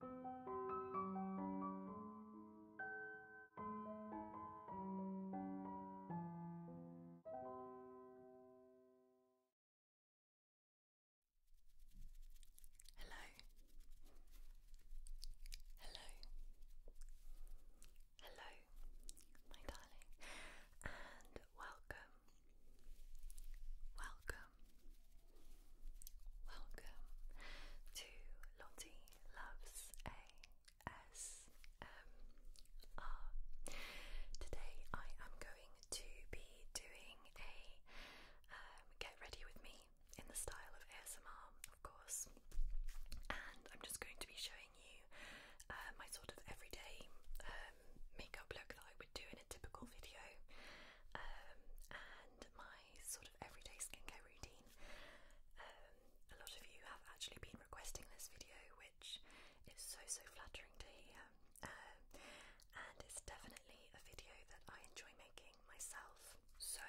Hello. Hello. Hello, my darling, and welcome. Welcome welcome, to Lottie Loves ASMR. Today I am going to be doing a get ready with me in the style of ASMR, of course, and I'm just going to be showing you uh, my sort of everyday um, makeup look that I would do in a typical video. Um, and my my sort of everyday skincare routine. Um, a lot of you have actually been requesting this video, which is so so flattering to hear, um, and it's definitely a video that I enjoy making myself. So,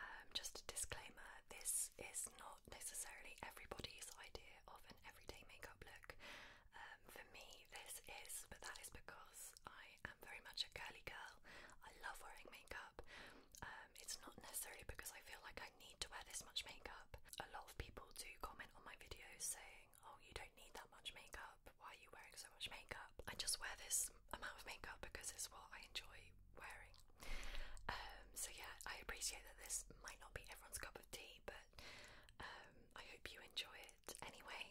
um, just a disclaimer this is not necessarily everybody's idea of an everyday makeup look. Um, for me, this is, but that is because I am very much a girly girl. I love wearing makeup. Um, it's not necessarily because I feel like I need to wear this much makeup. A lot of people do comment on my videos saying, oh, you don't need that much makeup. Why are you wearing so much makeup? I just wear this amount of makeup because it's what I enjoy wearing. Um, so yeah, I appreciate that this might not be everyone's cup of tea, but um, I hope you enjoy it anyway.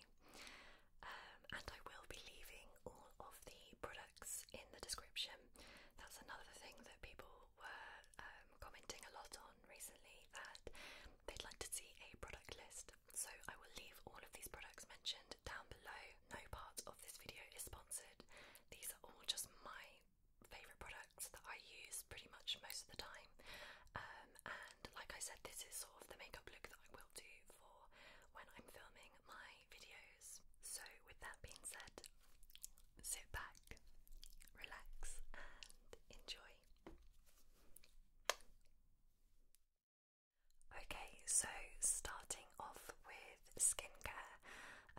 Um, and I will be leaving all of the products in the description. That's another thing that people were um, commenting a lot on recently that they'd like to see a product list. So I will leave all of these products mentioned down below. No part of this video is sponsored. These are all just my favourite products that I use pretty much most of the time. Um, and like I said, this is sort of the makeup look that I will do when I'm filming my videos. So, with that being said, sit back, relax, and enjoy. Okay, so starting off with skincare,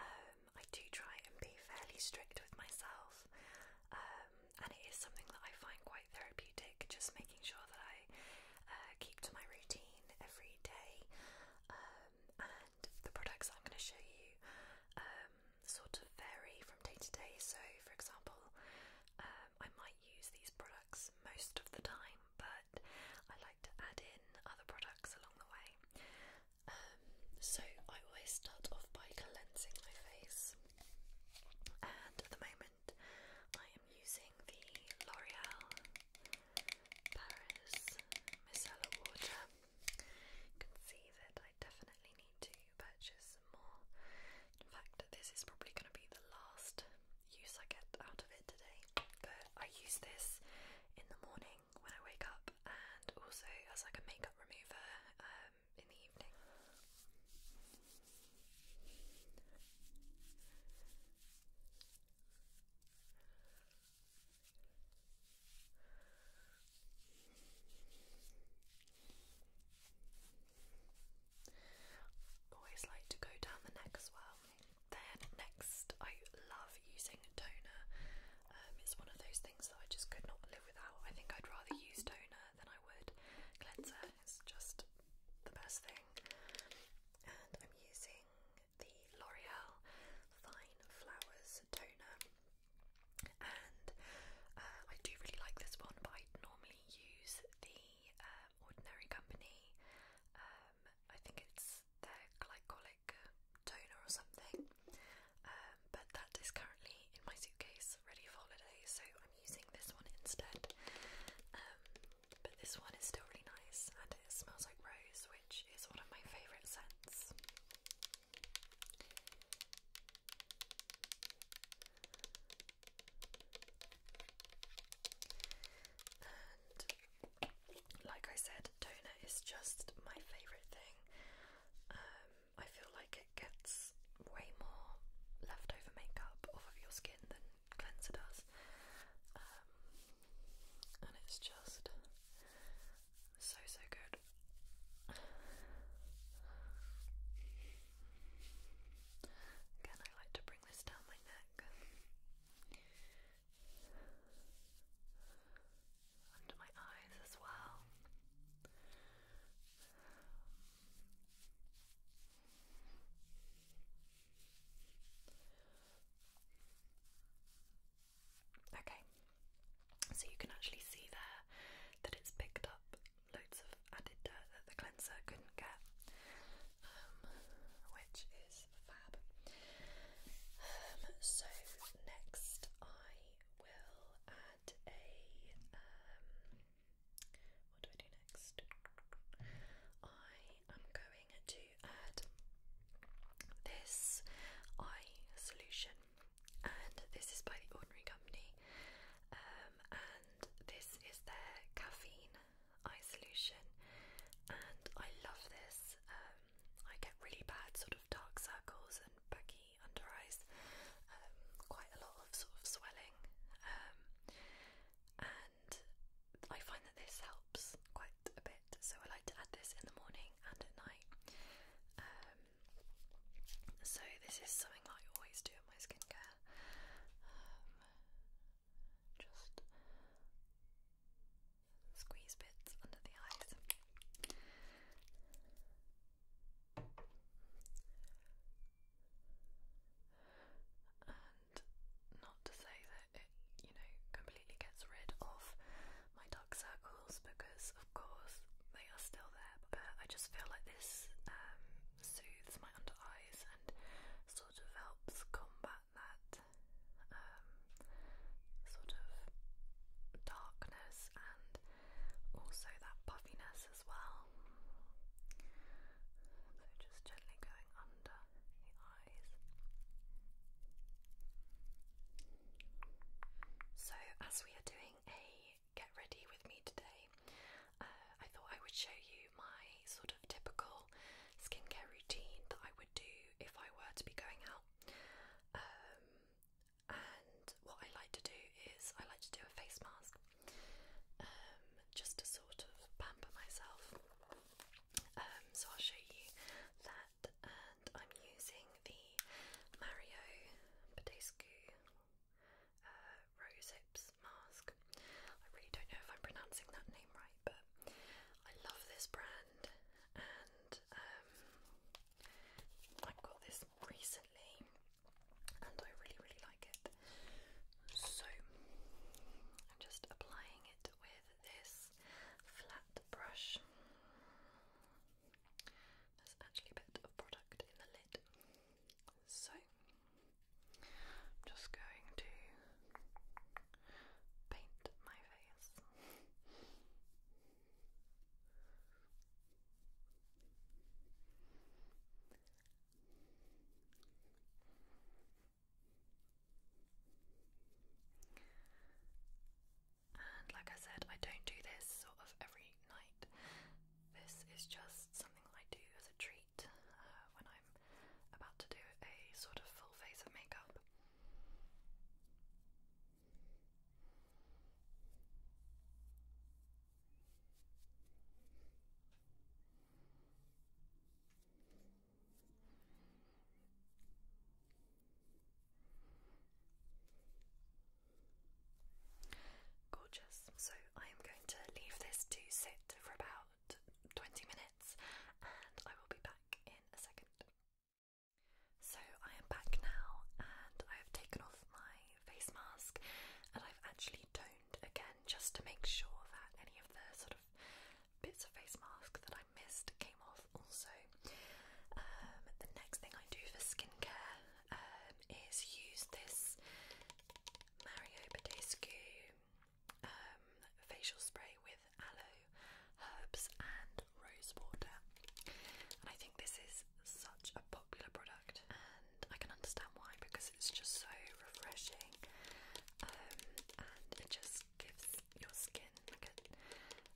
um, I do try and be fairly strict with myself, um, and it is something that I find quite quite therapeutic, just making sure that I uh, keep to my routine every day. Um, and the products I'm going to show you um, sort of vary from day to day. So, for example, um, I might use these products most of the time, but I like to add in other products along the way. Um, so, I always start off by cleansing my face, and at the moment. I am using the L'Oreal Paris Micellar Water. You can see that I definitely need to purchase some more. In fact, this is probably going to be the last use I get out of it today. But I use this in the morning when I wake up and also as like a makeup remover um, in the evening. Always like to go down the neck as well. Then next, I love using toner. Um, it's one of those things that I just could not live without. I think I'd rather use toner than I would cleanser it's just the best thing. And I'm using the L'Oreal Fine Flowers toner, and uh, I do really like this one, but I normally use the uh, Ordinary Company. Um, I think it's their glycolic toner or something, um, but that is currently in my suitcase, ready for holiday. So I'm using this one instead. Um, but this one is still really nice and it smells like rose, which is one of my favourite scents. And like I said, toner is just my favourite thing. Um, I feel like it gets way more leftover makeup off of your skin than cleanser does. Um, and it's just so, so good. Again, I like to bring this down my neck, under my eyes as well. Okay, so you can actually see there that it's picked up loads of added dirt that the cleanser couldn't get, um, which is fab. Um, so next, I will add a um, what do I do next? I am going to add this eye solution, and this is by the Ordinary Company. Um, and this is their caffeine eye solution, and I love this. Um, I get really bad sort of dark circles and baggy under eyes, um, quite a lot of sort of swelling, um, I find that this helps quite a bit. So I like to add this in the morning and at night. Um, so this is something I always do in my skincare. Um, just squeeze bits under the eyes not to say that it, you know, completely gets rid of my dark circles because, of course, they are still there. But I just feel like this um, soothes my under eyes and sort of helps combat that um, sort of darkness and also that puffiness as well. So just gently going on so, as we are doing a get ready with me today, uh, I thought I would show you my sort of typical skincare routine that I would do if I were to be going out. Um, and what I like to do is I like to do a face mask. Um, just to sort of pamper myself. Um, so I'll show you that, and I'm using the Mario Badescu uh, mask. I really don't know if I'm pronouncing that name right, but I love this brand, and um, I got this recently, and I really, really like it. So I'm just applying it with this flat brush. There's actually a bit of product in the lid. So I'm just going to paint my face. And like I said, I don't do this sort of every night. This is just something I do as a treat uh, when I'm about to do a sort of full face of makeup. Gorgeous. So I am going to leave this to sit for about 20 minutes and I will be back in a second. So I am back now and I have taken off my face mask and I've actually toned toned again just to make sure that any of the sort of bits of face mask that I missed came off also. Um, the next thing I do for skincare um, is use this Mario Badescu um, facial spray with aloe, herbs and rose water. And I think this is such a popular product and I can understand why because it's just so refreshing um, and it just gives your skin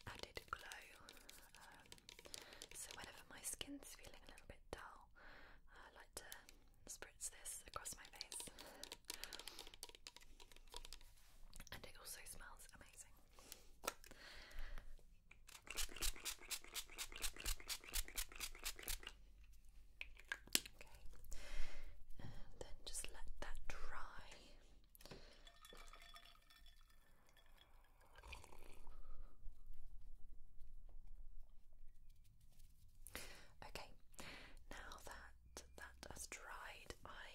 added glow. Um, so, whenever my skin's feeling a little bit dull, I like to spritz this across my face, and it also smells amazing. Okay, and then just let that dry. Okay, now that that has dried, I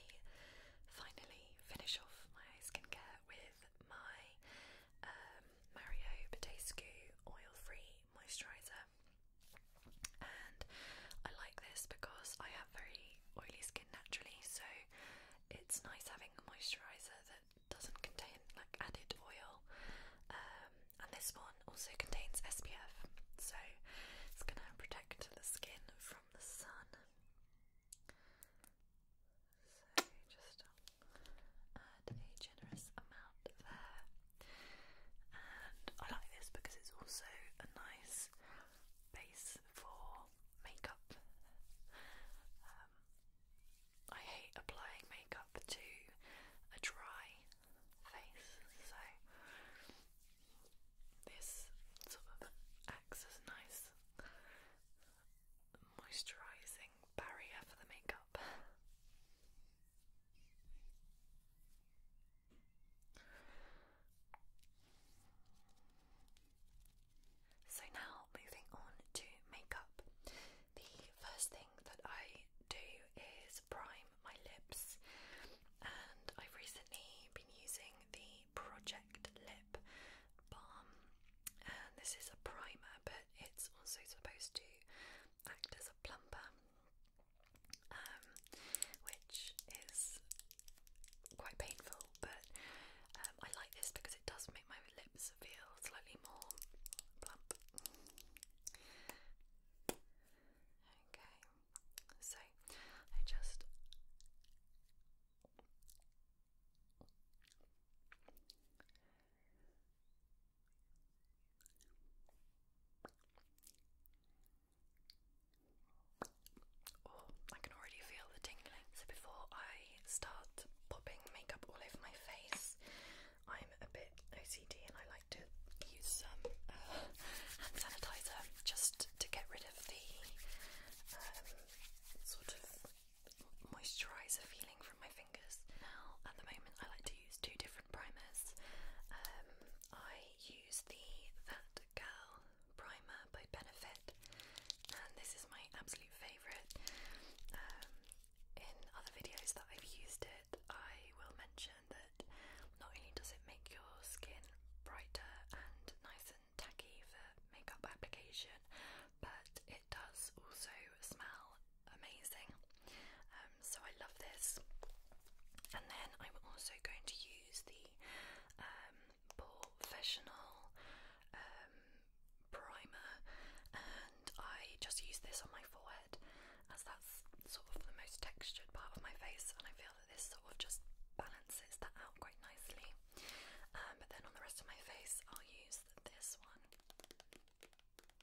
finally finish off my skincare with my um, Mario Badescu oil-free moisturizer and I like this because I have very oily skin naturally, so it's nice having a moisturizer that doesn't contain like added oil. Um, and this one also contains SPF, so it's gonna protect the skin from the sun. So just add a generous amount there and I like this because it's also a nice base for makeup. Um, I hate applying makeup to a dry face, so this sort of acts as a nice moisturising barrier for the makeup. So now moving on to makeup. The first thing that I do is prime my lips and I've recently been using the Project Lip Balm and this is a primer but it's also supposed to act as a plumper um, which is quite painful, but um, I like this because it does make my lips feel slightly more plump. Okay, so I just. Oh, I can already feel the tingling. So, before I start popping makeup all over my face, I'm a bit OCD and I like to use some uh, hand sanitizer just to get rid of the um, sort of moisturizer feeling from my fingers. Now, at the moment, I like use two different primers. Um, I use the That Girl primer by Benefit, and this is my absolute favourite. Um, in other videos that I've used it, I will mention that not only does it make your skin brighter and nice and tacky for makeup application, but it does also smell amazing. Um, so I love this. And then I'm also going to use the um, professional um, primer, and I just use this on my forehead as that's sort of the most textured part of my face, and I feel that this sort of just balances that out quite nicely. Um, but then on the rest of my face, I'll use this one.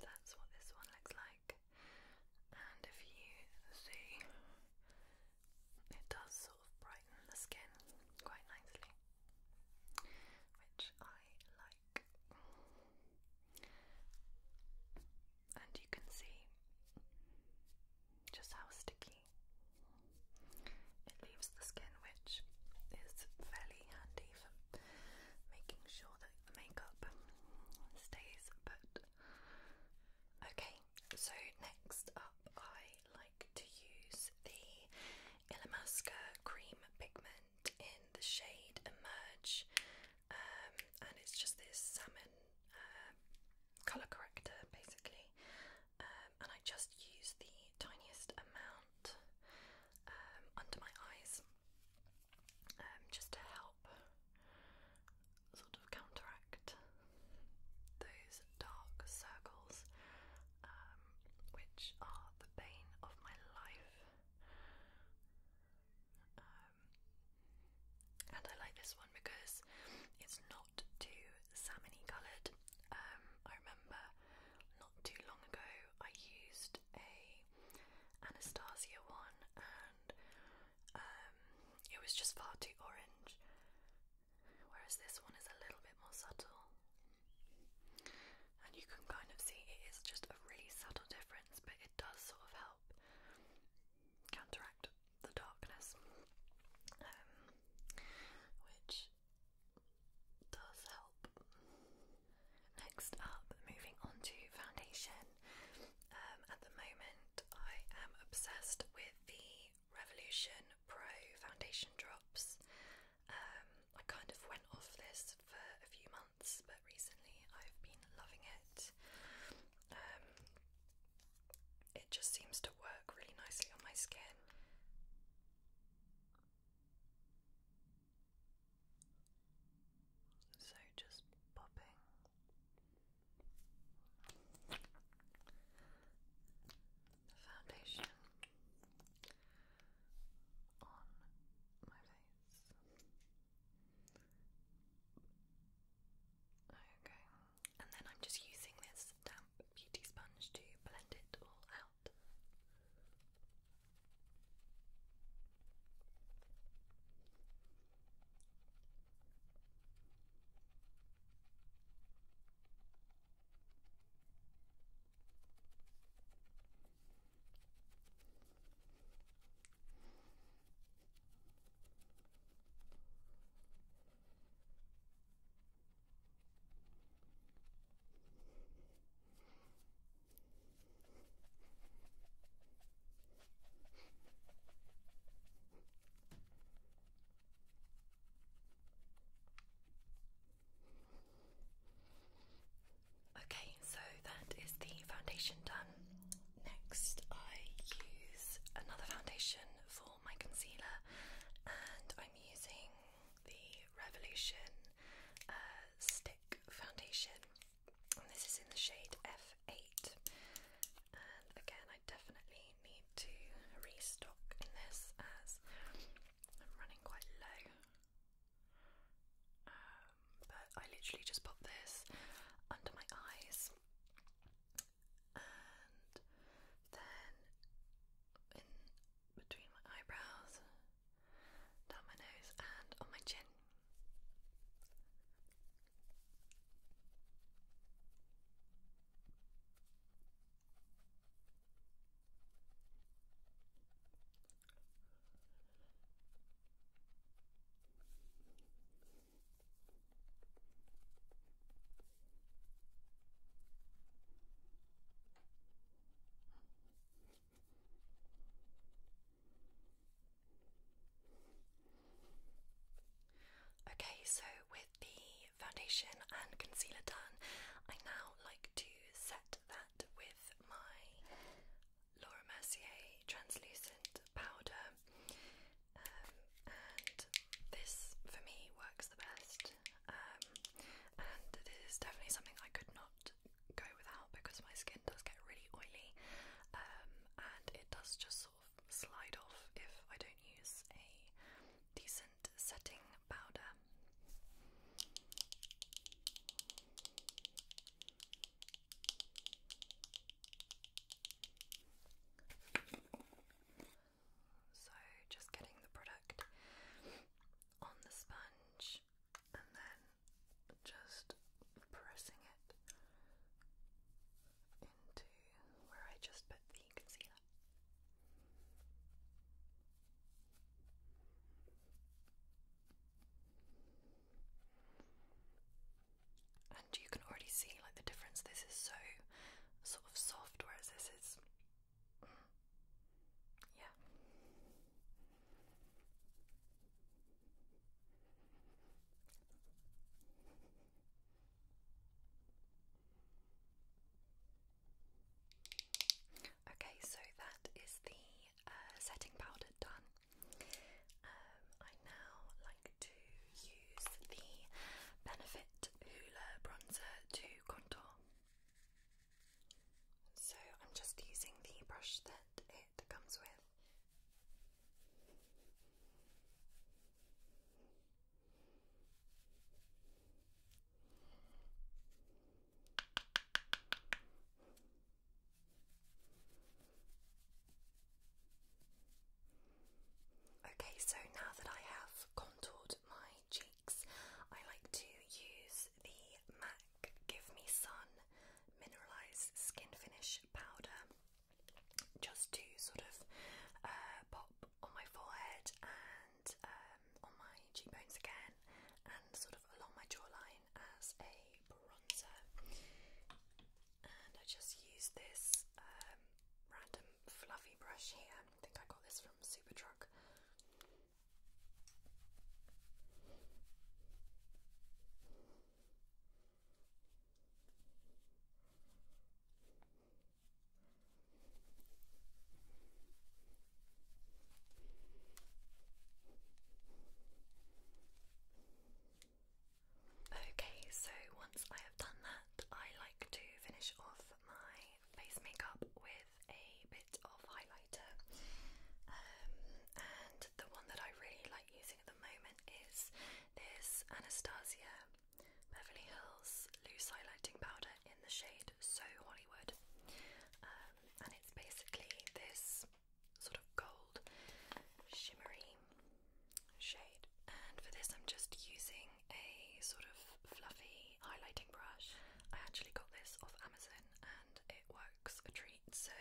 that's what this one looks like. And if you see, it does sort of brighten the skin quite nicely, which I like. And you can see just how sticky it leaves the skin, which is fairly handy for making sure that the makeup stays put. Okay, so next up, I like to use the Illamasqua cream pigment in the shade Emerge, um, and it's just this salmon uh, colour corrector basically, um, and I just use the tiniest amount um, under my eyes um, just to help sort of counteract those dark circles, which are the bane of my life and I like this one because it's not too salmony coloured. Um, I remember not too long ago I used a Anastasia one and um, it was just far too orange, whereas this one is a little bit more subtle. And you can kind of see it is just a really subtle difference, but it does sort of help counteract the darkness, um, which does help. Next up, moving on to foundation. Um, at the moment, I am obsessed with the Revolution Pro foundation drops. Um, I kind of went off this for a few months, but recently I've been loving it it just seems to work really nicely on my skin. So just popping the foundation on my face. Okay. And then I'm just using this damp beauty sponge to blend it all out. Okay, so that is the foundation done. Next, I use another foundation for my concealer, and I'm using the Revolution uh, Stick Foundation, and this is in the shade F8. And again, I definitely need to restock in this as I'm running quite low. Um, but I literally just pop this under my eyes and then in between my eyebrows, down my nose, and on my chin. Okay, so with the foundation and concealer done, I now like to set that with my Laura Mercier translucent powder um, and this for me works the best. Um, and this is definitely something I could not go without because my skin does get really oily, um, and it does just sort of slide off if I don't use a decent setting powder. So, just getting the product on the sponge and then just pressing it into where I just put the concealer and you can already see like the difference. This is so sort of soft, whereas this is, mm, yeah. Okay, so that is the uh, setting powder done. Um, I now like to use the Benefit Hoola Bronzer to contour. So I'm just using the brush that it comes with. Okay, so now that I have contoured my cheeks, I like to use the MAC Give Me Sun Mineralized Skin Finish Powder just to sort of uh, pop on my forehead and um, on my cheekbones again and sort of along my jawline as a bronzer. And I just use this um, random fluffy brush here. I think I got this from Superdrug. Okay, so once I have done that, I like to finish off my face makeup with a bit of highlighter. Um, and the one that I really like using at the moment is this Anastasia Beverly Hills Loose Highlighting Powder in the shade So Hollywood. Um, and it's basically this sort of gold shimmery shade. And for this, I'm just using a sort of fluffy highlighting brush. I actually got this off Amazon and it works a treat, so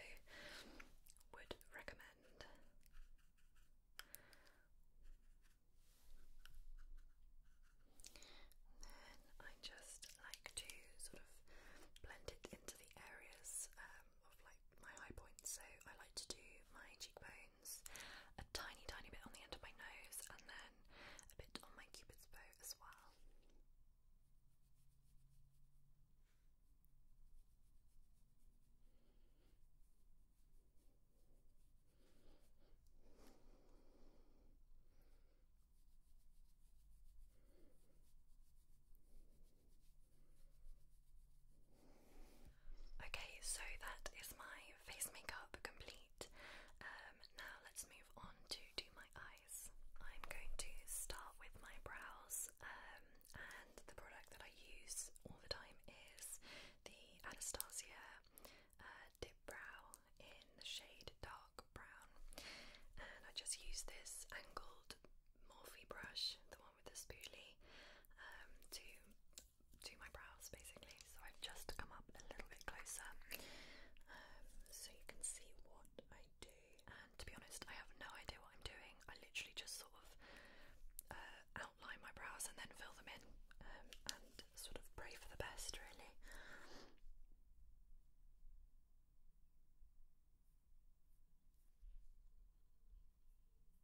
would recommend. Then I just like to sort of blend it into the areas um, of like my high points. So I like to do my cheekbone a tiny, tiny bit on the end of my nose, and then a bit on my cupid's bow as well. Okay, so that is my face makeup complete. Um, now let's move on to do my eyes. I'm going to start with my brows, um, and the product that I use all the time is the Anastasia uh, Dip Brow in the shade Dark Brown. And I just use this angled Morphe brush, the one with the spoolie, um, to to my brows basically. So I've just come up a little bit closer um, so you can see what I do. And to be honest, I have no idea what I'm doing. I literally just sort of uh, outline my brows and then fill them in um, and sort of pray for the best, really.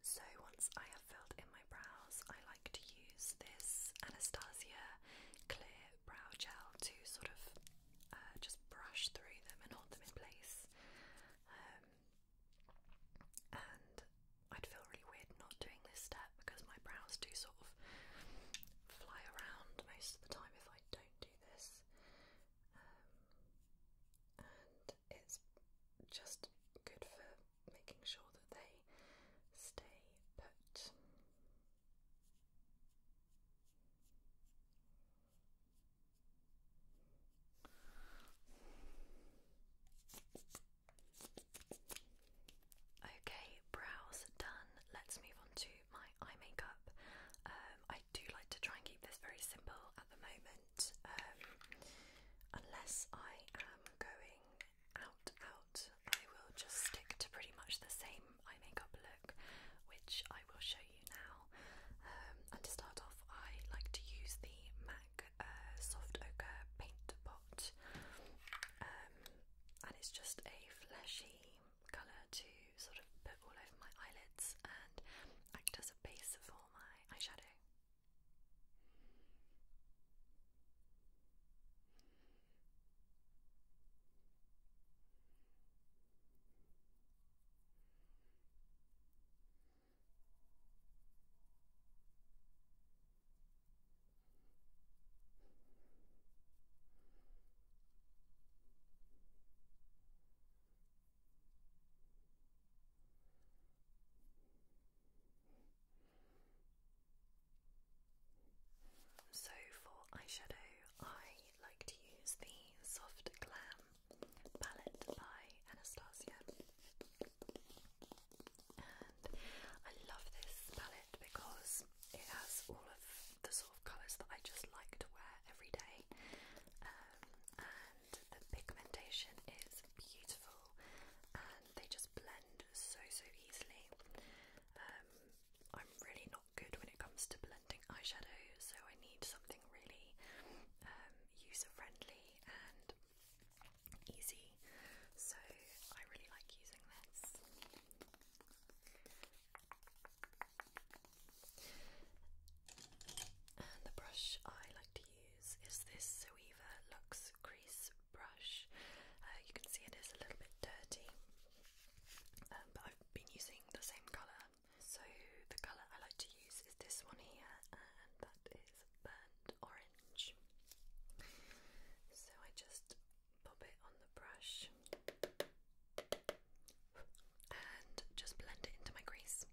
So, once I have filled in my brows, I like to use this Anastasia Clear Brow Gel to sort of uh, just brush through them and hold them in place. Um, I'd feel really weird not doing this step because my brows do sort of fly around most of the time if I don't do this. Um, and it's just good for making sure that they stay put. Okay, brows done. Let's move on to my eye makeup. Um, I do like to try and keep this very simple at the moment, um, unless I am going out, out. I will just stick to pretty much the same eye makeup look, which I will show you now. Um, and to start off, I like to use the MAC uh, Soft Ochre Paint Pot and it's just a fleshy colour to sort of put all over my eyelids and act as a base for my eyeshadow. So for eyeshadow, I like to use the Soft Glam palette by Anastasia. I love this palette because it has all of the sort of colours that I just like to wear every day um, and the pigmentation is beautiful and they just blend so so easily um, I'm really not good when it comes to blending eyeshadows, so I need something really um, user friendly and easy, so I really like using this. And the brush I like to use is this Zoeva Luxe Crease brush. Uh, you can see it is a little bit dirty, um, but I've been using the same colour. So the colour I like to use is this one here, and that is burnt orange sponge. So I just pop it on the brush and just blend it into my grease.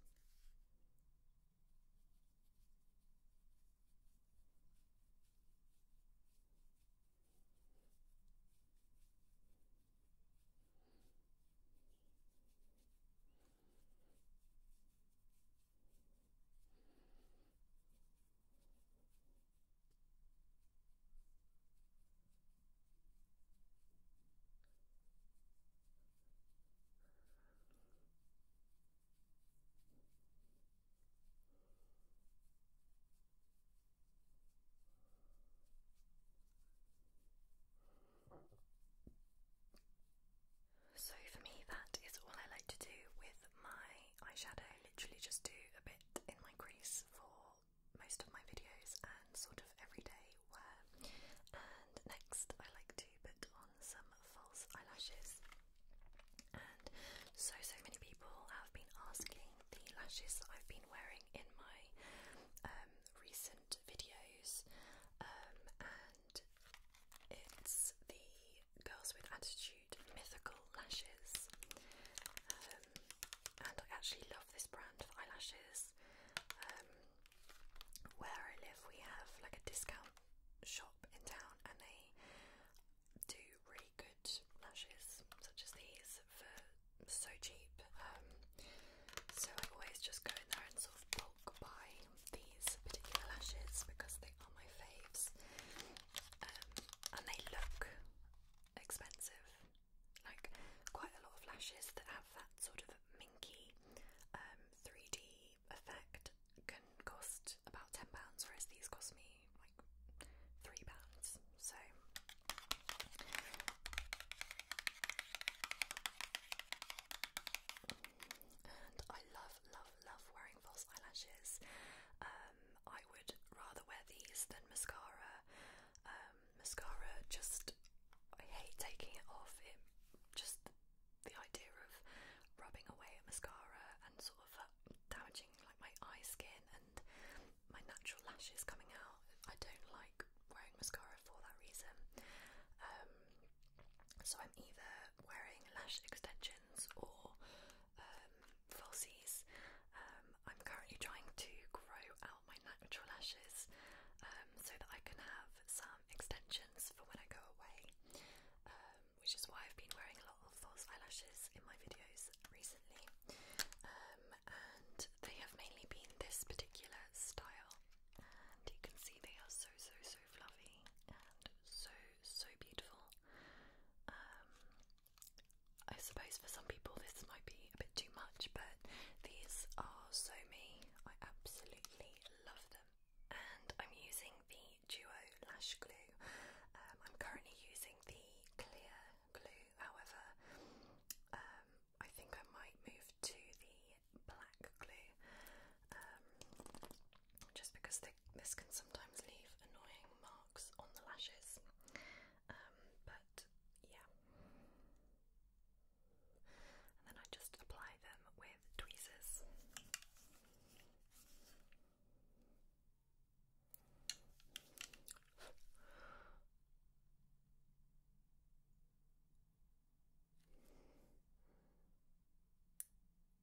So, for me, that is all I like to do with my eyeshadow, literally just do a bit in my crease for most of my videos and sort of everyday wear. And next, I like to put on some false eyelashes. And so, so many people have been asking the lashes that I've been wearing in my um, recent videos, um, and it's the Girls with Attitude issued Mythical Lashes, um, and I actually love this brand of eyelashes. Um, where I live, we have like a discount shop in town, and they do really good lashes, such as these, for so cheap. Um, so I always just go in there and sort of bulk buy these particular lashes because they are my faves um, and they look expensive. Like quite a lot of lashes that have that sort of minky um, 3D effect can cost about £10, whereas these cost me like £3. So. And I love, love, love wearing false eyelashes. Um, I would rather wear these than mascara. Um, mascara just, I hate taking it off. It just the idea of rubbing away a mascara and sort of uh, damaging like my eye skin and my natural lashes coming out. I don't like wearing mascara for that reason. Um, so I'm either wearing lash extensions or um, falsies. Um, I'm currently trying to grow out my natural lashes um, so that I can have some extensions for when I go away, which is why I've been wearing a lot of false eyelashes in my videos recently. and they have mainly been this particular style, and you can see they are so so so fluffy so, so beautiful. Um, I suppose for some people this might be a bit too much, but these are so me. I absolutely love them. And I'm using the Duo Lash Glue. Um, I'm currently using the Clear Glue, however, um, I think I might move to the black glue just because this can sometimes leave annoying marks on the lashes. Um, but yeah. And then I just apply them with tweezers.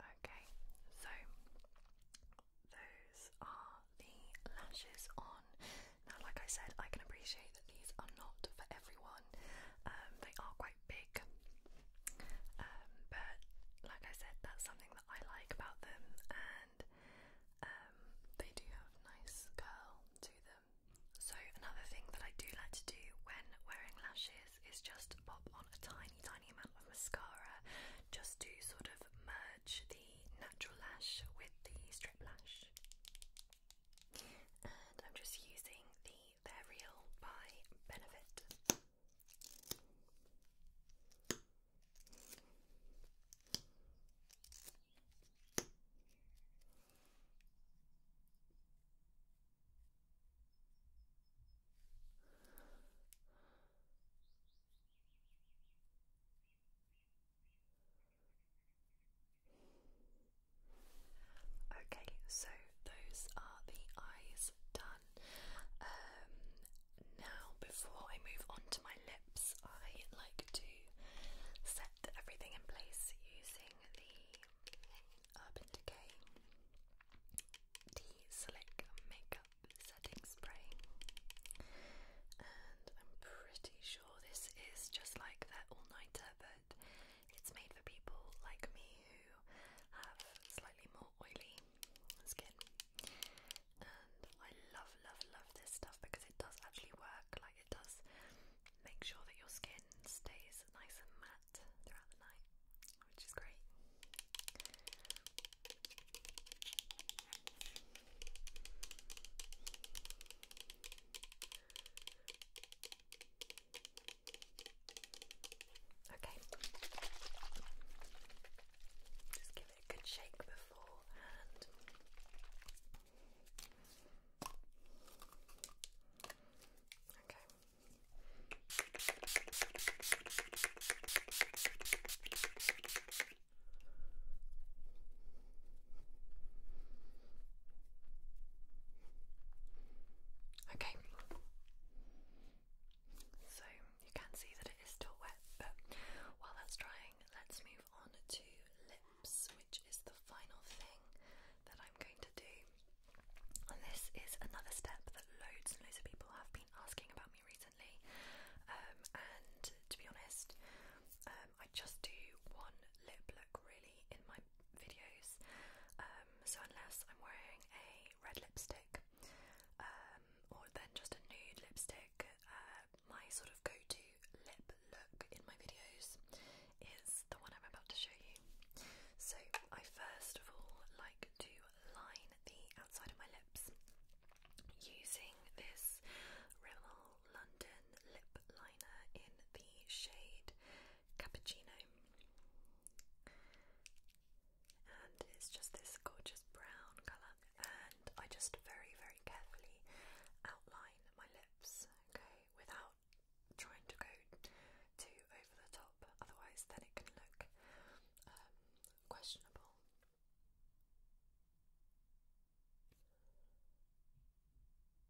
Okay, so those are the lashes on. Now, like I said, I can appreciate that these are not for everyone one. Um, they are quite big, um, but like I said, that's something that I like about them, and um, they do have nice curl to them. So another thing that I do like to do when wearing lashes is just pop on a tiny, tiny amount of mascara, just to sort of merge the natural lash with the strip lash. And I'm just using the They're Real by Benefit. Okay, so those are the eyes done. Um, now, before I move on to my lips, I like to set everything in place using the Urban Decay Tea Slick Makeup Setting Spray. And I'm pretty sure this is just like their all nighter, but it's made for people like me who have slightly more oily skin. And I love, love, love this stuff because it does actually work. Like, it does make sure that your skin stays nice and matte throughout the night, which is great. Okay. Just give it a good shake beforehand. Okay. Okay, so you can see that it is still wet, but while that's drying, let's move on to lips, which is the final thing that I'm going to do. And this is another step that loads and loads of people have been asking about me recently, um, and to be honest, um, I just do one lip look really in my videos. Um, so unless I'm wearing a red lipstick, um, or then just a nude lipstick, uh, my sort of go-to lip look in my videos is the one I'm about to show you. So I first of all like to line the outside of my lips using this Rimmel London lip liner in the shade cappuccino. And it's just this gorgeous brown colour. And I just very, very carefully outline my lips, okay, without trying to go too over the top, otherwise, then it can look um, questionable.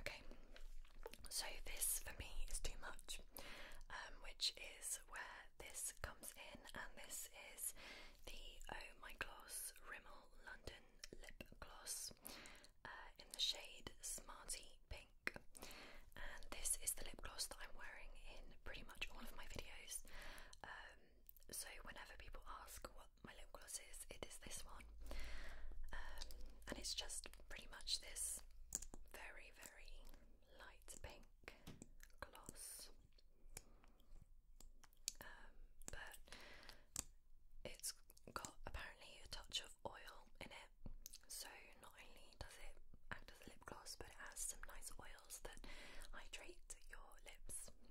Okay, so this for me is too much, um, which is where this comes in, and this is the Oh My Gloss Rimmel London Lip Gloss uh, in the shade Smarty Pink. And this is the lip gloss that I'm wearing in pretty much all of my videos. Um, so whenever people ask what my lip gloss is, it is this one. Um, and it's just pretty much this very, very light pink gloss. Um, but it's got apparently a touch of oil in it, so not only does it act as a lip gloss, but it has some nice oil oils that hydrate your lips. Okay.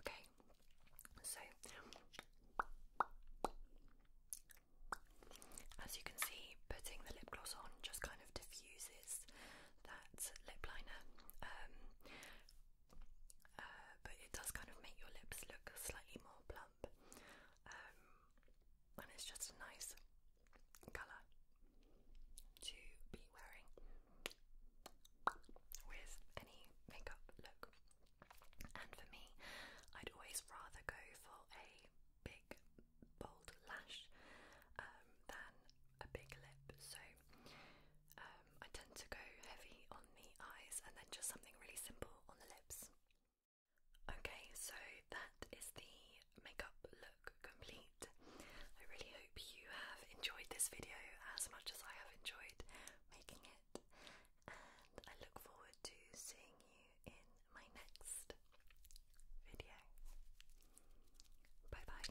Okay, so as you can see, putting the lip gloss on just kind of diffuses that lip liner, um, uh, but it does kind of make your lips look slightly more plump. Um, and it's just a nice colour to be wearing with any makeup look. And for me, I'd always rather go for a big, bold lash um, than a big lip. So um, I tend to go heavy on the eyes and then just something really simple on the lips. Okay, so that is the makeup look complete. I really hope you have enjoyed this video as much as I have enjoyed making it, and I look forward to seeing you in my next video. Bye bye.